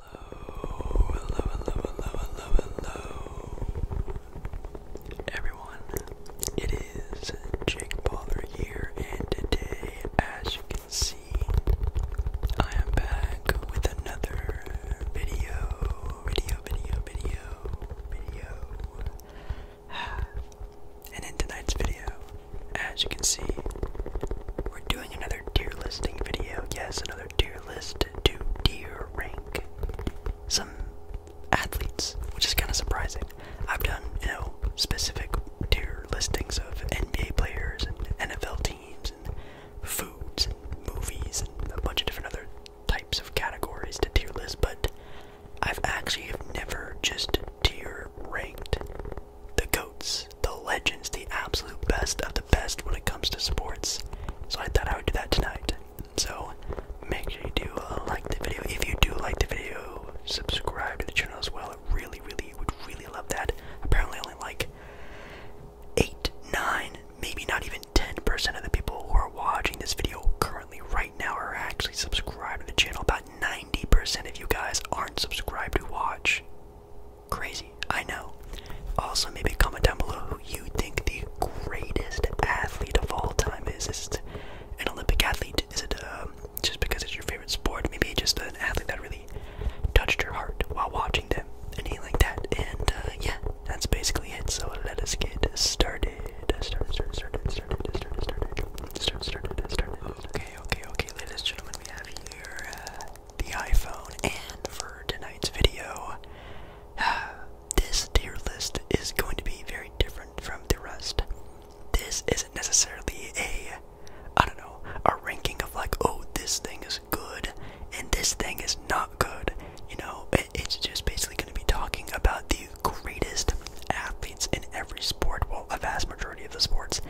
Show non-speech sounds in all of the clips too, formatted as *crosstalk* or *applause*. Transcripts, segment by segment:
Hello, hello, hello, hello, hello, hello. Everyone, it is Jake Baller here, and today, as you can see, I am back with another video, video, video, video, video. *sighs* And in tonight's video, as you can see, we're doing another tier listing video. Yes, another tier list to tier rank some athletes, which is kind of surprising. I've done, you know, specific tier listings of NBA players and NFL teams and foods and movies and a bunch of different other types of categories to tier list, but I've actually have never just tier ranked the goats the legends, the absolute best of the best when it comes to sports. So I thought I would do that tonight. So make sure you do uh, like the video. If you do like the video, subscribe to the channel as well. I really, really would really love that. Apparently, only like eight, nine, maybe not even ten percent of the people who are watching this video currently right now are actually subscribed to the channel. About ninety percent of you guys aren't subscribed to watch. Crazy, I know. Also, maybe comment down below who you think the greatest athlete of all time is. Is it an Olympic athlete? Is it um, just because it's your favorite sport? Maybe just an athlete that really touched your heart while watching them, anything like that. And uh, yeah, that's basically it. So let us get started. Started, started, started, started, started, started, started, started, started. Okay, okay, okay, ladies and gentlemen, we have here. Uh, the iPhone, and for tonight's video, *sighs* this tier list is going to be very different from the rest. This isn't necessarily a, I don't know, a ranking of like, oh, this thing is good and this thing is not good. You know, it's just basically going to be talking about the greatest athletes in every sport, well, a vast majority of the sports,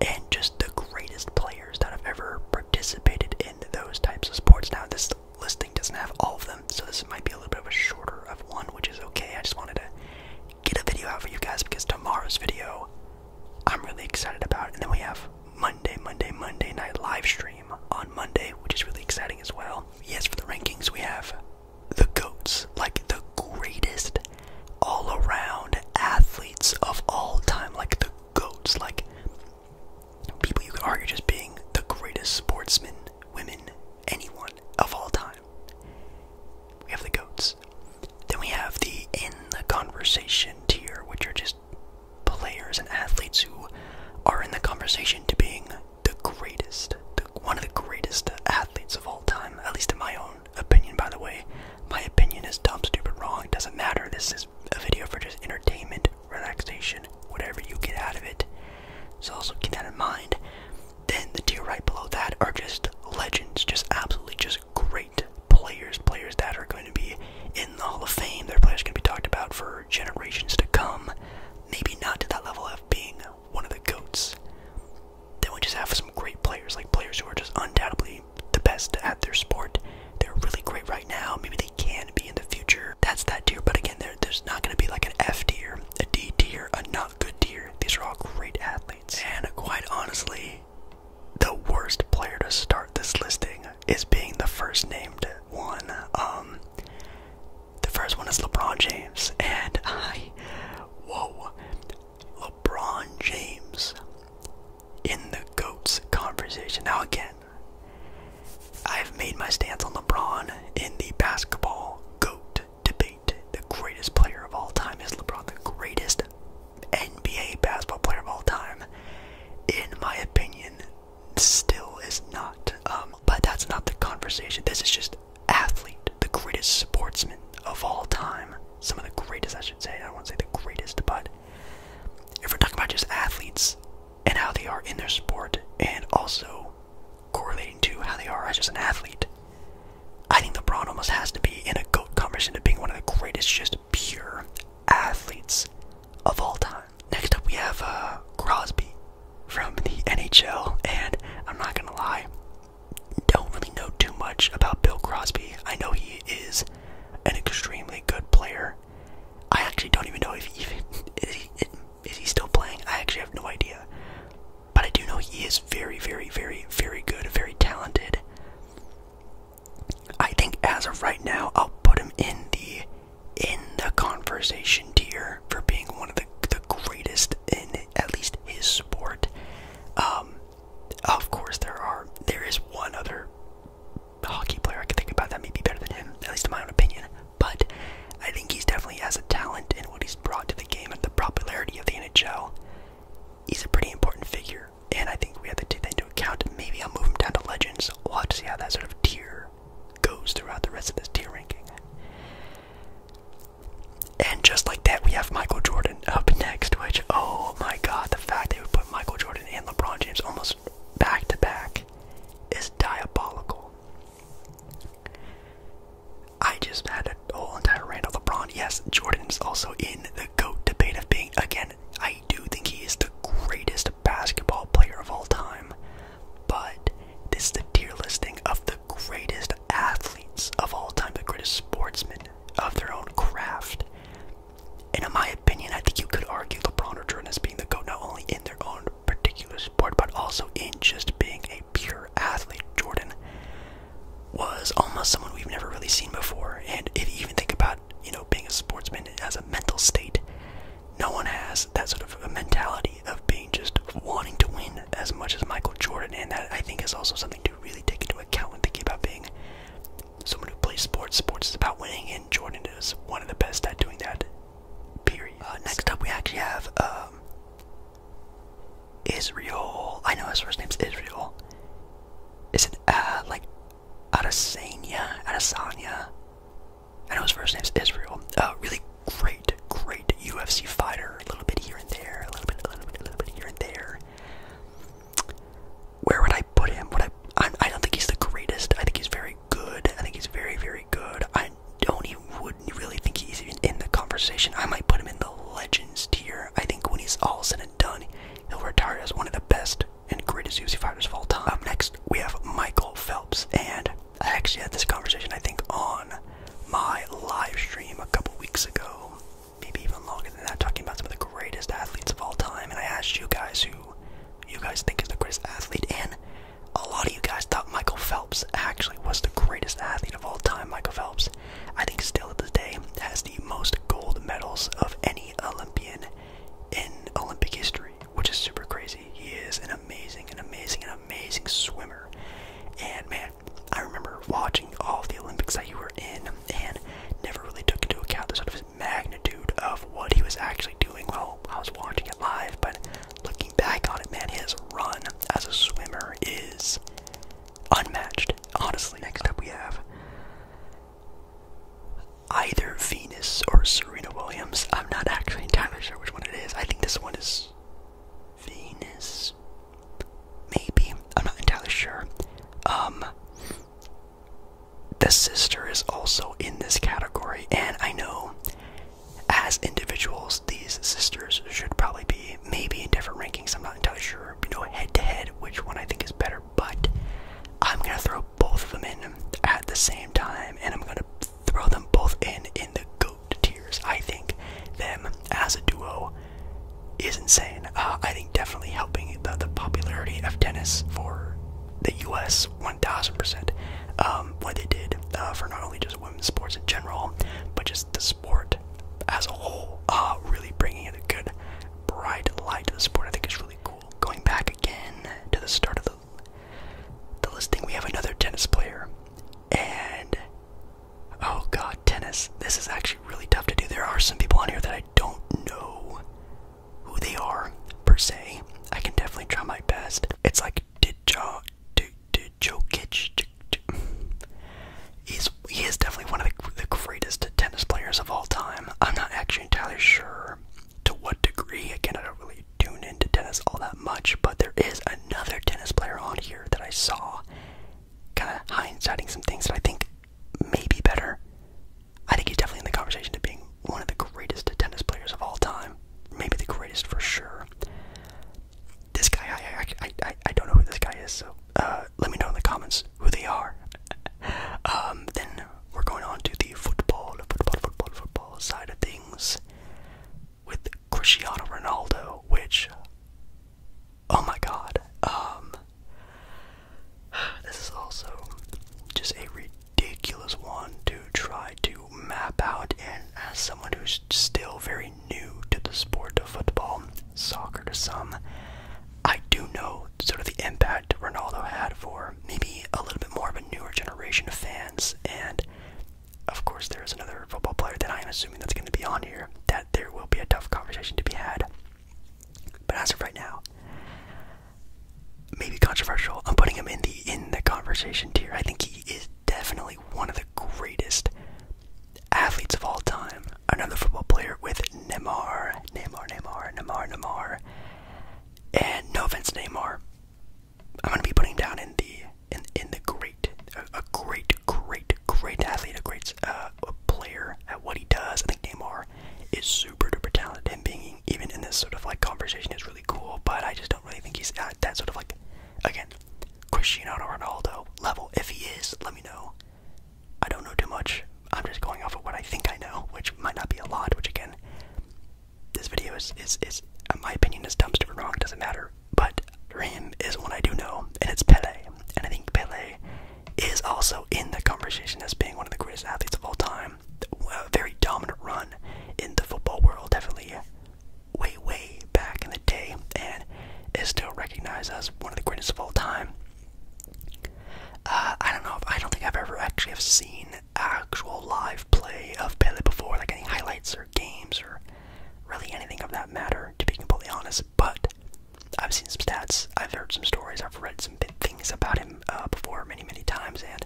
and just the greatest players that have ever participated in those types of sports. Now, this listing doesn't have all of them, so this might be a little bit of a shorter of one, which is okay. I just wanted to get a video out for you guys because tomorrow's video I'm really excited about. And then we have Monday, Monday, Monday night live stream on Monday, which is really exciting as well. Yes, for the rankings, we have the GOATs, like the greatest all around athletes of all time, like the goats. Like people you could argue just being the greatest sportsmen, women, anyone of all time. We have the goats. Then we have the in the conversation tier, which are just players and athletes who are in the conversation to being the greatest, one of the greatest athletes of all time, at least in my own opinion, by the way. My opinion is dumb, stupid, wrong. doesn't matter. This is a video for just entertainment, relaxation, whatever you get out of it. So also keep that in mind. Then the tier right below that are just legends, just absolutely just great players, players that are going to be in the Hall of Fame. Their players can be talked about for generations to come. Maybe not to that level of being one of the goats. Then we just have some great players, like players who are just undoubtedly the best at their sport. They're really great right now. Maybe they can be in the future. That's that tier. But again, there's not going to be like an F tier, a D tier, a not good tier. These are all great athletes. And quite honestly, the worst player to start this listing is being the first named one. Um, the first one is LeBron James, and I, whoa, LeBron James in the GOATs conversation. Now, again, I've made my stance on LeBron in the basketball GOAT debate. The greatest player of all time is LeBron, the greatest NBA basketball player of all time, in my opinion, still is not. Um, but that's not the conversation. This is just athlete, the greatest sportsman of all time. Some of the greatest, I should say. I don't want to say the greatest, but if we're talking about just athletes and how they are in their sport and also correlating to how they are as just an athlete, I think LeBron almost has to be in a GOAT conversation to being one of the greatest just pure athletes of all time. Next up we have uh, Crosby from the NHL and I'm not gonna lie, don't really know too much about Bill Crosby. I know he is an extremely good player. I actually don't even know if he *laughs* is he, still playing. I actually have no idea, but I do know he is very, very, very, very good, very talented. I think as of right now, I'll put him in the in the conversation tier for being one of the the greatest in at least his sport. Um, of course, there are there is one other hockey player I can think about that may be better than him, at least in my own opinion. But I think he's definitely has a talent in what he's brought to the game and the popularity of the NHL. He's a pretty important figure, and I think we have to take that into account. Maybe I'll move him down to Legends. We'll have to see how that sort of tier goes throughout the rest of this tier ranking. And just like that, we have Michael Jordan up next, which, oh my god, the fact they would put Michael Jordan and LeBron James almost back to back is diabolical. I just had a whole entire rant on LeBron. Yes, Jordan's also in the GOAT debate of being, again, I do think he is the greatest basketball player of all time, but this is the tier listing of the greatest athletes of all time, the greatest sportsmen of their own craft. And in my opinion, I think you could argue LeBron or Jordan as being the GOAT not only in their own particular sport, but also in just being a pure athlete. Jordan was almost someone we've never really seen before. And if you even think about, you know, being a sportsman as a mental state, no one has that sort of mentality of being just wanting to win as much as Michael Jordan. And that I think is also something to really take into account when thinking about being someone who plays sports. Sports is about winning, and Jordan is one of the best at doing that. Period. Uh, next up, we actually have um, Israel. I know his first name's Israel. Is it uh, like Adesanya? Adesanya. I know his first name's Israel. A uh, really great, great UFC fighter. A little bit here and there. A little bit, a little bit, a little bit here and there where would I put him? Would I? I, don't think he's the greatest. I think he's very good. I think he's very, very good. I don't even would really think he's even in the conversation. I might put him in the legends tier. I think when he's all said and done, he'll retire as one of the best and greatest UFC fighters of all time. next, we have Michael Phelps, and I actually had this conversation I think on my live stream a couple weeks ago maybe even longer than that, talking about some of the greatest athletes of all time. And I asked you guys who you guys think is the greatest athlete, and a lot of you guys thought Michael Phelps actually was the greatest athlete of all time. Michael Phelps, I think, still to this day, has the most gold medals of any Olympian in Olympic history, which is super crazy. He is an amazing, an amazing, an amazing swimmer. And man, I remember watching all of the Olympics that you were in and never really took into account the sort of magnitude of what he was actually doing while I was watching it live, but looking back on it, man, his run as a swimmer is unmatched, honestly. Next up, we have either Venus or Serena Williams. I'm not actually entirely sure which one it is. I think this one is Venus. Maybe. I'm not entirely sure. Um the sister is also in this category, and I know as individuals, these sisters should probably be maybe in different rankings. I'm not entirely sure, you know, head to head, which one I think is better, but I'm gonna throw both of them in at the same time, and I'm gonna throw them both in in the goat tiers. I think them as a duo is insane. Uh, I think definitely helping the, the popularity of tennis for the U.S. 1,000%. Um, what they did uh, for not only just women's sports in general, but just the sport as a whole, uh, really bringing in a good, bright light to the sport. I think is really cool. Going back again to the start of the the listing, we have another tennis player, and oh god, tennis. This is actually really tough to do. There are some people on here that I don't know who they are per se. I can definitely try my best. It's like Didja Djokic. He's he is definitely one of the, the greatest tennis players of all time. I'm not actually entirely sure to what degree. Again, I don't really tune into tennis all that much, but there is another tennis player on here that I saw, kind of hindsighting some things that I think may be better I think he's definitely in the conversation to being one of the greatest tennis players of all time. Maybe the greatest for sure. This guy, I, I, I, don't know who this guy is, so uh, let me know in the comments who they are. *laughs* um, then we're going on to the football, football, football, football side of things with Cristiano Ronaldo, which Oh my god. Um, this is also just a ridiculous one to try to map out and as someone who's still very new to the sport of football, soccer to some, I do know sort of the impact Ronaldo had for maybe a little bit more of a newer generation of fans and of course, there is another football player that I am assuming that's going to be on here. That there will be a tough conversation to be had but as of right now, maybe controversial. I'm putting him in the in the conversation tier. I think he is definitely one of the greatest athletes of all time. Another football player with Neymar, Neymar, Neymar, Neymar, Neymar. And no offense, to Neymar. I'm gonna be putting down in the in in the great, a, great, great, great athlete, a great uh, a player at what he does. I think Neymar Lamar is super duper talented. Him being even in this sort of like conversation is really cool, but I just don't really think he's at that sort of like, again, Cristiano Ronaldo level. If he is, let me know. I don't know too much. I'm just going off of what I think I know, which might not be a lot, which again, this video is, is, is in my opinion, is dumpster or wrong, doesn't matter. But for him is one I do know, and it's Pele. And I think Pele is also in the conversation as being one of the greatest athletes of all time. A very dominant run in the football world, definitely way, way back in the day, and is still recognized as one of the greatest of all time. Uh, I don't know if I don't think I've ever actually have seen actual live play of Pele before, like any highlights or games or really anything of that matter, to be completely honest but I've seen some stats, I've heard some stories, I've read some things about him uh, before many, many times, and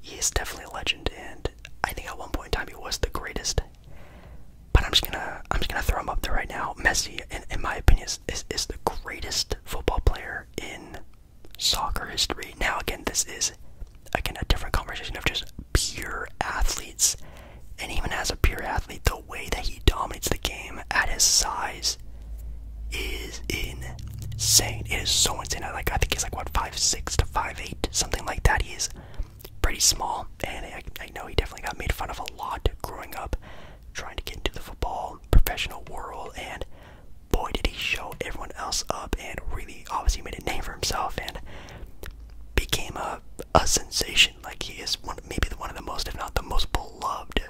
he is definitely a legend. And I think at one point in time he was the greatest. But I'm just gonna, I'm just gonna throw him up there right now. Messi, in, my opinion, is the greatest football player in soccer history. Now, again, this is again a different conversation of just pure athletes. And even as a pure athlete, the way that he dominates the game at his size size is insane. It is so insane. I like I think he's like what five six to five eight, something like that. He is pretty small, and I, know he definitely got made fun of a lot growing up, trying to get into the football professional world. And boy, did he show everyone else up, and really obviously made a name for himself, and became a a sensation. Like he is one, maybe one of the most, if not the most beloved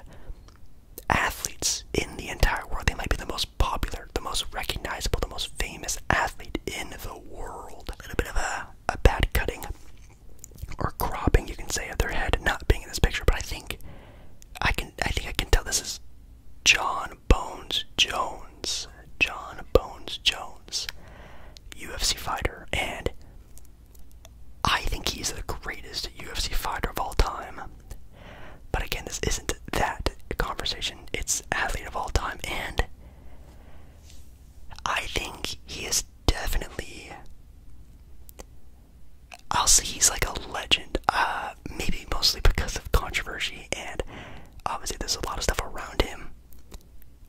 athletes in the entire world. They might be the most popular, the most recognizable, the most famous athlete in the world. A little bit of a, a bad cutting or cropping, you can say, of their head not being in this picture, but I think I can I think I can tell this is John Bones Jones. John Bones Jones, UFC fighter, and I think he's the greatest UFC fighter of all time. But again, this isn't that conversation. It's athlete of all time, and I think he is definitely. I'll say he's like a legend. Uh, maybe mostly because of controversy, and obviously there's a lot of stuff around him.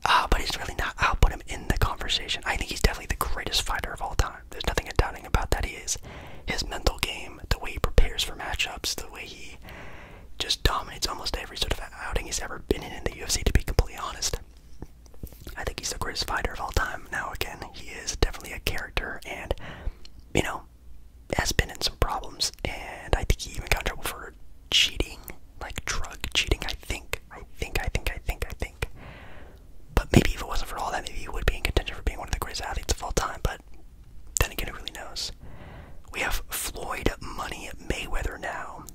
Uh, but he's really not. I'll put him in the conversation. I think he's definitely the greatest fighter of all time. There's nothing doubting about that. He is his mental game, the way he prepares for matchups, the way he just dominates almost every sort of outing he's ever been in in the UFC. To be completely honest, I think he's the greatest fighter of all time. Now, again, he is definitely a character, and you know, has been in some problems. And I think he even got trouble for cheating, like drug cheating. I think I think, I think, I think, I think. But maybe if it wasn't for all that, maybe he would be in contention for being one of the greatest athletes of all time. But then again, who really knows? We have Floyd Money Mayweather now.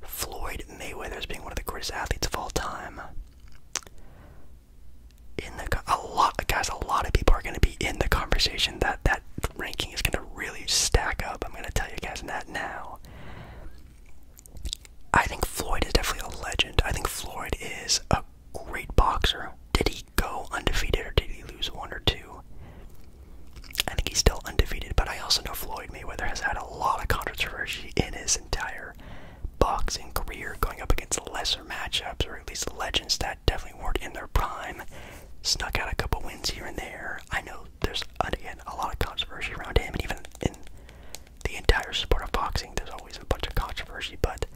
Floyd Mayweather as being one of the greatest athletes of all time. In the a lot, guys, a lot of people are going to be in the conversation. That that ranking is going to really stack up. I'm going to tell you guys that now. I think Floyd is definitely a legend. I think Floyd is a great boxer. Did he go undefeated or did he lose one or two? I think he's still undefeated, but I also know Floyd Mayweather has had a lot of controversy in his entire boxing career, going up against lesser matchups or at least legends that definitely weren't in their prime. Snuck out a couple wins here and there. I know there's again a lot of controversy around him, and even in the entire sport of boxing. There's always a bunch of controversy, but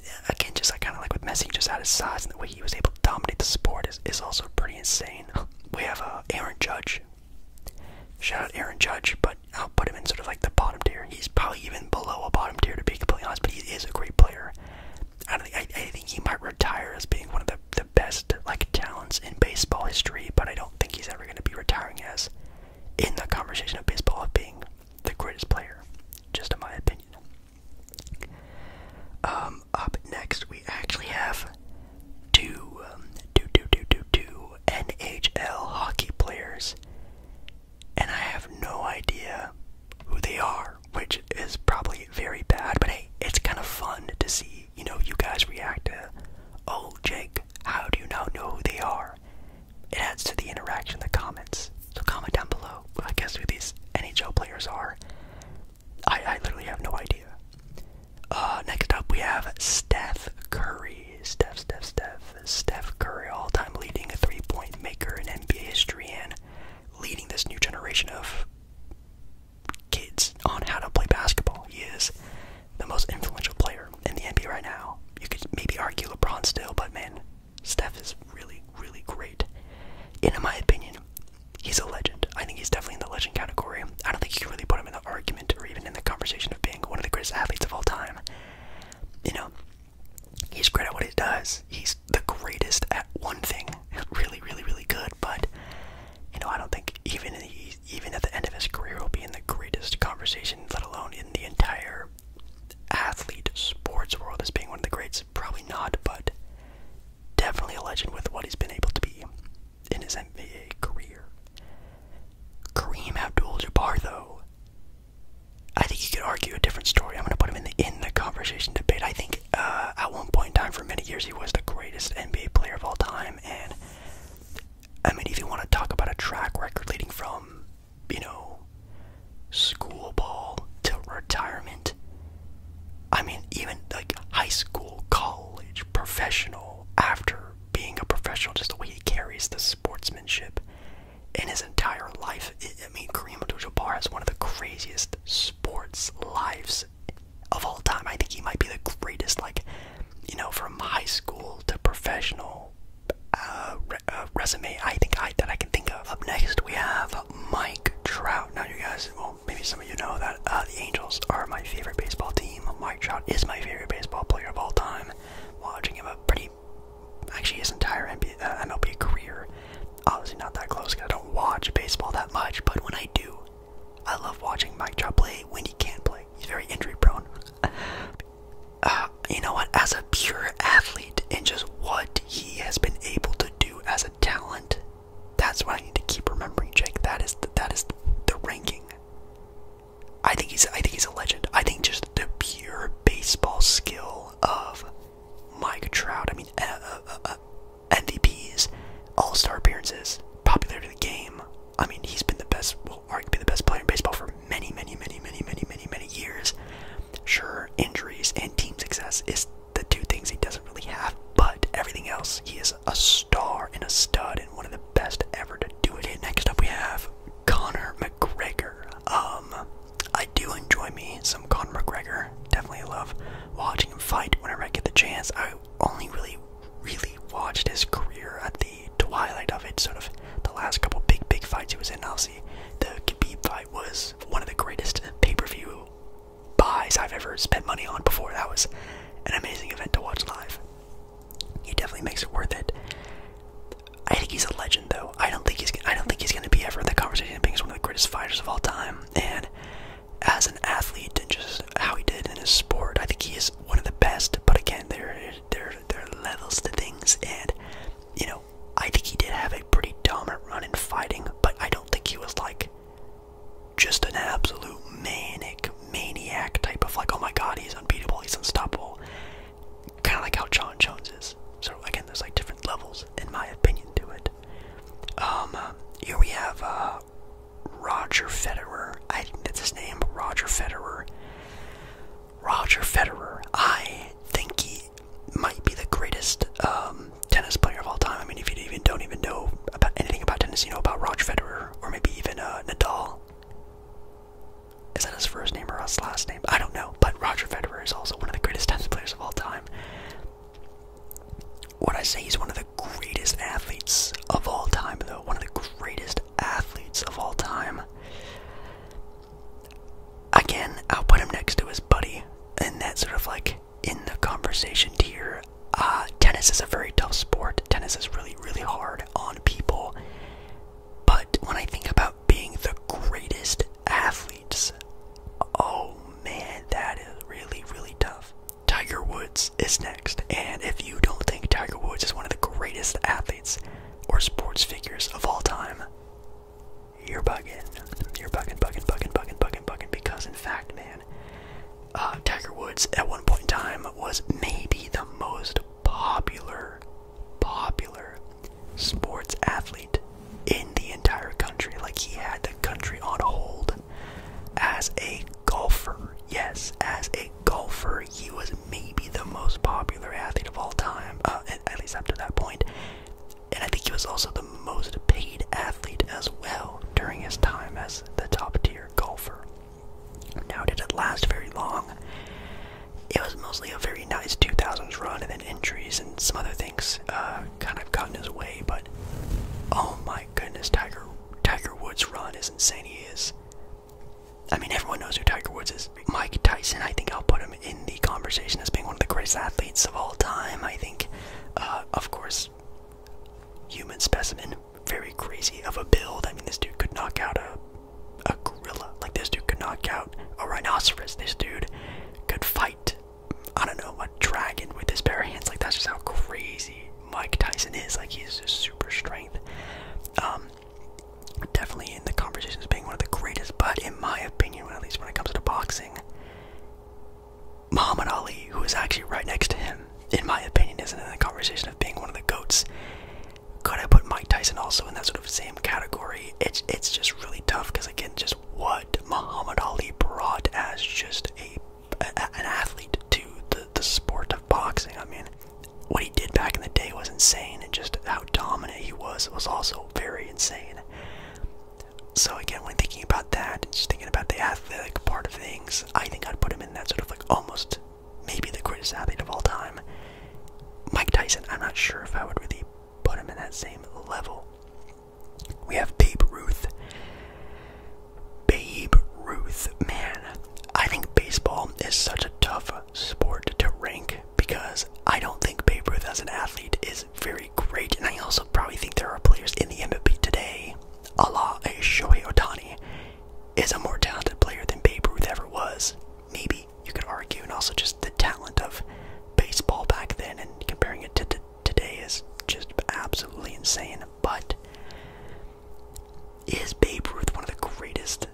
uh, again, just like kind of like with Messi, just at his size and the way he was able to dominate the sport is, is also pretty insane. We have uh, Aaron Judge. Shout out Aaron Judge, but I'll put him in sort of like the bottom tier. He's probably even below a bottom tier to be completely honest, but he is a great player. I don't think I, I think he might retire as being one of the the best like talents in baseball history, but I don't think he's ever going to be retiring as in the conversation of baseball of being the greatest player, just in my opinion. Um, up next, we actually have two, um, two, two, two, two, two NHL hockey players, and I have no idea who they are, which is probably very bad, but hey, it's kind of fun to see you know, you guys react to, oh, Jake, how do you now know who they are? It adds to the interaction, the comments. So comment down below, I guess who these NHL players are. I, I literally have no idea. Uh, next up, we have Steph Curry. Steph, Steph, Steph. Steph Curry, all time leading a three point maker in NBA history and leading this new generation of kids on how to play basketball. He is the most influential player in the NBA right now. You could maybe argue LeBron still, but man, Steph is really, really great. in my opinion, he's a legend. I think he's definitely in the legend category. I don't think you can really put him in the argument or even in the conversation of being one of the greatest athletes of all time. You know, he's great at what he does. He's the greatest at one thing. *laughs* Really, really, really good. But you know, I don't think even he even at the end of his career will be in the greatest conversation, let alone in the entire athlete sports world as being one of the greats. Probably not, but definitely a legend with what he's been able to be in his NBA career. Kareem Abdul-Jabbar, though, I think you could argue a different story. I'm going to put him in the in the conversation debate. I think uh, at one point in time, for many years, he was the greatest NBA player of all time, and I mean, if want to talk about a track record leading from, you know, school ball to retirement, I mean, even like high school, college, professional, after being a professional, just the way he carries the sportsmanship in his entire life. I mean, Kareem Abdul-Jabbar has one of the craziest sports lives of all time. I think he might be the greatest, like, you know, from high school to professional uh, uh, resume I think I that I can think of. Up next, we have Mike Trout. Now, you guys, well, maybe some of you know that uh, the Angels are my favorite baseball team. Mike Trout is my favorite baseball player of all time. Watching him a pretty, actually his entire NBA, MLB career. Obviously, not that close because I don't watch baseball that much. But when I do, I love watching Mike Trout play when he can't play. He's very injury prone. Uh, you know what? As a pure athlete and just what he has been able to do as a talent, that's what I need to keep remembering, Jake. That is the, that is the ranking. I think he's I think he's a legend. I think just the pure baseball skill of Mike Trout. I mean, uh, uh, uh, uh MVPs, All Star appearances, popularity of the game, I mean, he's been the best, well, arguably the best player in baseball for many, many, many, many, many, many, many years. Sure, injuries and team success is the two things he doesn't really have, but everything else, he is a star and a stud and one of the best ever to do it. next up, we have Conor McGregor. Um, I do enjoy me some Conor McGregor. Definitely love watching him fight whenever I get the chance. I only really really watched his career at the twilight of it, sort of the last couple big, big fights he was in. I'll see the Khabib fight was one of the greatest pay-per-view buys I've ever spent money on before. That was an amazing event to watch live. He definitely makes it worth it. I think he's a legend, though. I don't think he's. I don't think he's going to be ever in the conversation of being one of the greatest fighters of all time. And as an athlete and just how he did in his sport. I think he is one of the best, but again, there there there are levels to things, and you know, I think he did have a pretty dominant run in fighting, but I don't think he was like just an absolute manic maniac type of like, oh my god, he's unbeatable, he's unstoppable. Kind of like how John Jones is. So again, there's like different levels in my opinion to it. Um, here we have uh, Roger Federer. I think that's his name, Roger Federer. Roger Federer. I think he might be the greatest um, tennis player of all time. I mean, if you even don't even know about anything about tennis, you know about Roger Federer or maybe even uh, Nadal. Is that his first name or his last name? I don't know. But Roger Federer is also one of the greatest tennis players of all time. What I say he's one of the greatest athletes of all time, though. One of the greatest athletes of all time. Again, I'll put him next to his buddy, and that's sort of like in the conversation tier. Uh, tennis is a very tough sport. Tennis is really, really hard on people. But when I think about being the greatest athletes, oh man, that is really, really tough. Tiger Woods is next, and if you don't think Tiger Woods is one of the greatest athletes or sports figures of all time, you're bugging. You're bugging, bugging, bugging, bugging, bugging, bugging, because in fact, man, uh, Tiger Woods at one point in time was maybe the most popular, popular sports athlete in the entire country. Like, he had the country on hold as a golfer. Yes, as a golfer, he was maybe the most popular athlete of all time, uh, at least up to that And I think he was also the most paid athlete as well during his time as the top tier golfer. Now, did it last very long? It was mostly a very nice 2000s run, and then injuries and some other things uh, kind of got in his way. But oh my goodness, Tiger Tiger Woods' run is insane. He is I mean, everyone knows who Tiger Woods is. Mike Tyson, I think I'll put him in the conversation as being one of the greatest athletes of all time. I think, uh, of course, human specimen, very crazy of a build. I mean, this dude could knock out a a gorilla. Like this dude could knock out a rhinoceros. This dude could fight. I don't know a dragon with his bare hands. Like that's just how crazy Mike Tyson is. Like he's just super strength. Um, definitely in the conversation as being one of the greatest, but in my opinion, at least when it comes to boxing, Muhammad Ali, who is actually right next to him, in my opinion, isn't in the conversation of being one of the goats. Could I put Mike Tyson also in that sort of same category? It's it's just really tough because again, just what Muhammad Ali brought as just a an athlete to the, the sport of boxing. I mean, what he did back in the day was insane, and just how dominant he was was also very insane. So again, when thinking about that, and just thinking about the athletic part of things, I think I'd put him in that sort of like almost maybe the greatest athlete of all time. Mike Tyson, I'm not sure if I would really put him in that same level. We have Babe Ruth. Babe Ruth. Man, I think baseball is such a tough sport to rank because I don't think Babe Ruth as an athlete is very great, and I also probably think there are players in the MVP today, a la Otani, is a more talented player than Babe Ruth ever was. Maybe you could argue, and also just the talent of baseball back then and comparing it to today is just absolutely insane. But is Babe Ruth one of the greatest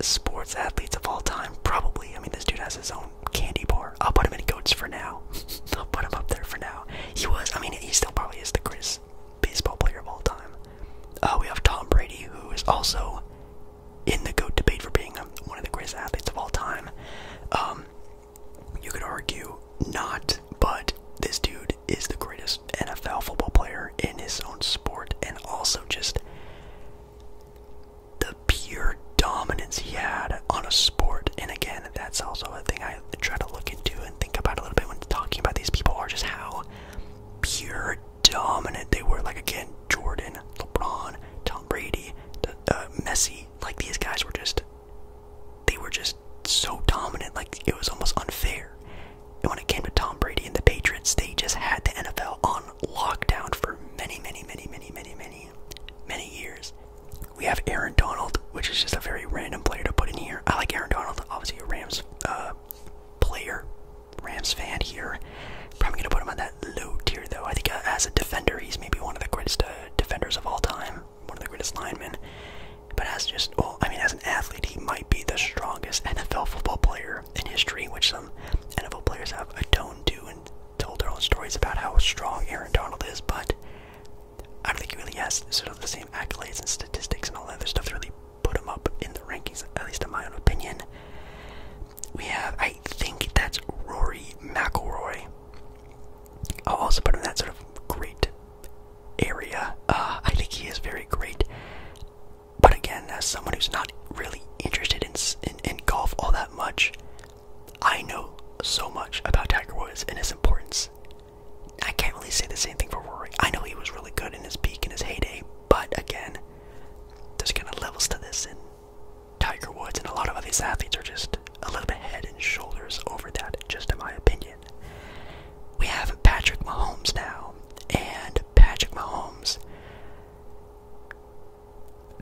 sports athletes of all time? Probably. I mean, this dude has his own candy bar. I'll put him in goats for now. *laughs* I'll put him up there for now. He was, I mean, he still probably is the greatest baseball player of all time. Uh, we have Tom Brady, who is also in the GOAT debate for being um, one of the greatest athletes of all time. Um, you could argue not but this dude is the greatest NFL football player in his own sport, and also just the pure dominance he had on a sport. And again, that's also a thing I try to look into and think about a little bit when talking about these people or just how pure dominant they were. Like again, Jordan, LeBron, Tom Brady, uh, Messi. Like these guys were just, they were just so dominant. Like it was almost unfair. And when it came to Tom Brady and the Patriots, they just had the NFL on lockdown for many, many, many, many, many, many, many years. We have Aaron Donald, which is just a very random player to put in here. I like Aaron Donald, obviously a Rams uh, player, Rams fan here. Probably gonna put him on that low tier though. I think uh, as a defender, he's maybe one of the greatest uh, defenders of all time, one of the greatest linemen. But as just, well, I mean, as an athlete, he might be the strongest NFL football player in history, which some NFL players have atoned to and told their own stories about how strong Aaron Donald is. But I don't think he really has sort of the same accolades and statistics and all that other stuff to really put him up in the rankings, at least in my own opinion. We have, I think that's Rory McIlroy. I'll also put him in that sort of great area. Uh, I think he is very great. But again, as someone who's not really interested in, in, golf all that much, I know so much about Tiger Woods and his importance. I can't really say the same thing for Rory. I know he was really good in his peak and his heyday, but again, there's kind of levels to this, and Tiger Woods and a lot of other athletes are just a little bit head and shoulders over that, just in my opinion. We have Patrick Mahomes now, and Patrick Mahomes.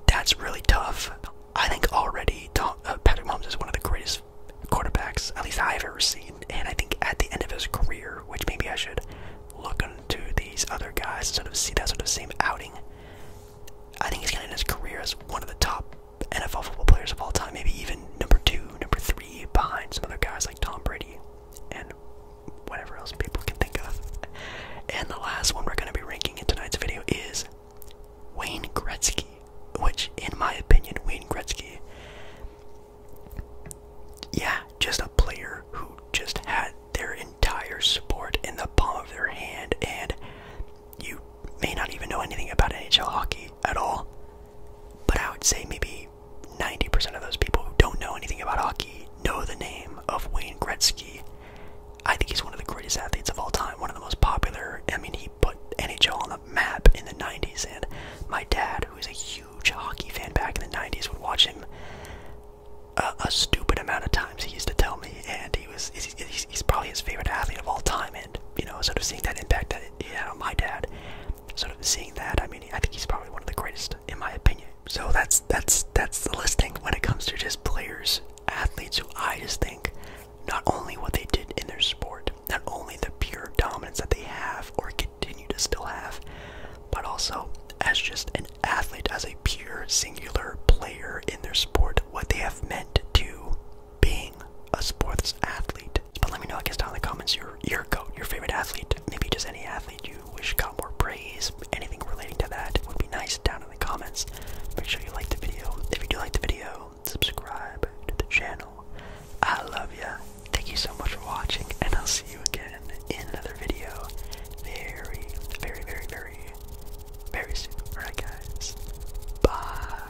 That's really tough. I think already uh, Patrick Mahomes is one of the greatest quarterbacks, at least I've ever seen. And I think at the end of his career, which maybe I should look into these other guys, sort of see that sort of same outing. I think he's gonna end his career as one of the top NFL football players of all time, maybe even number two, number three behind some other guys like Tom Brady and whatever else people can think of. And the last one we're going to be ranking in tonight's video is Wayne Gretzky, which, in my opinion, Wayne Gretzky, yeah, just a player who just had their entire sport in the palm of their hand, and you may not even know anything about NHL hockey at all, but I would say maybe 90% of those people who don't know anything about hockey know the name of Wayne Gretzky. I think he's one of the greatest athletes of all time, one of the most popular. I mean, he put NHL on the map in the 90s, and my dad, who was a huge hockey fan back in the 90s, would watch him a, stupid amount of times, he used to tell me, and he was he's, probably his favorite athlete of all time, and, you know, sort of seeing that impact that he had on my dad, sort of seeing that, I mean, I think he's probably one of the greatest in my opinion. So that's that's that's the listing when it comes to just players, athletes who I just think not only what they did in their sport, not only the pure dominance that they have or continue to still have, but also as just an athlete, as a pure singular player in their sport, what they have meant to being a sports athlete. But let me know, I guess, down in the comments, your your go, your favorite athlete, maybe just any athlete you wish got more praise. Anything relating to that would be nice down in the comments. Make sure you like the video. If you do like the video, subscribe to the channel. I love you. Thank you so much for watching, and I'll see you again in another video very, very, very, very, very soon. Alright, guys. Bye.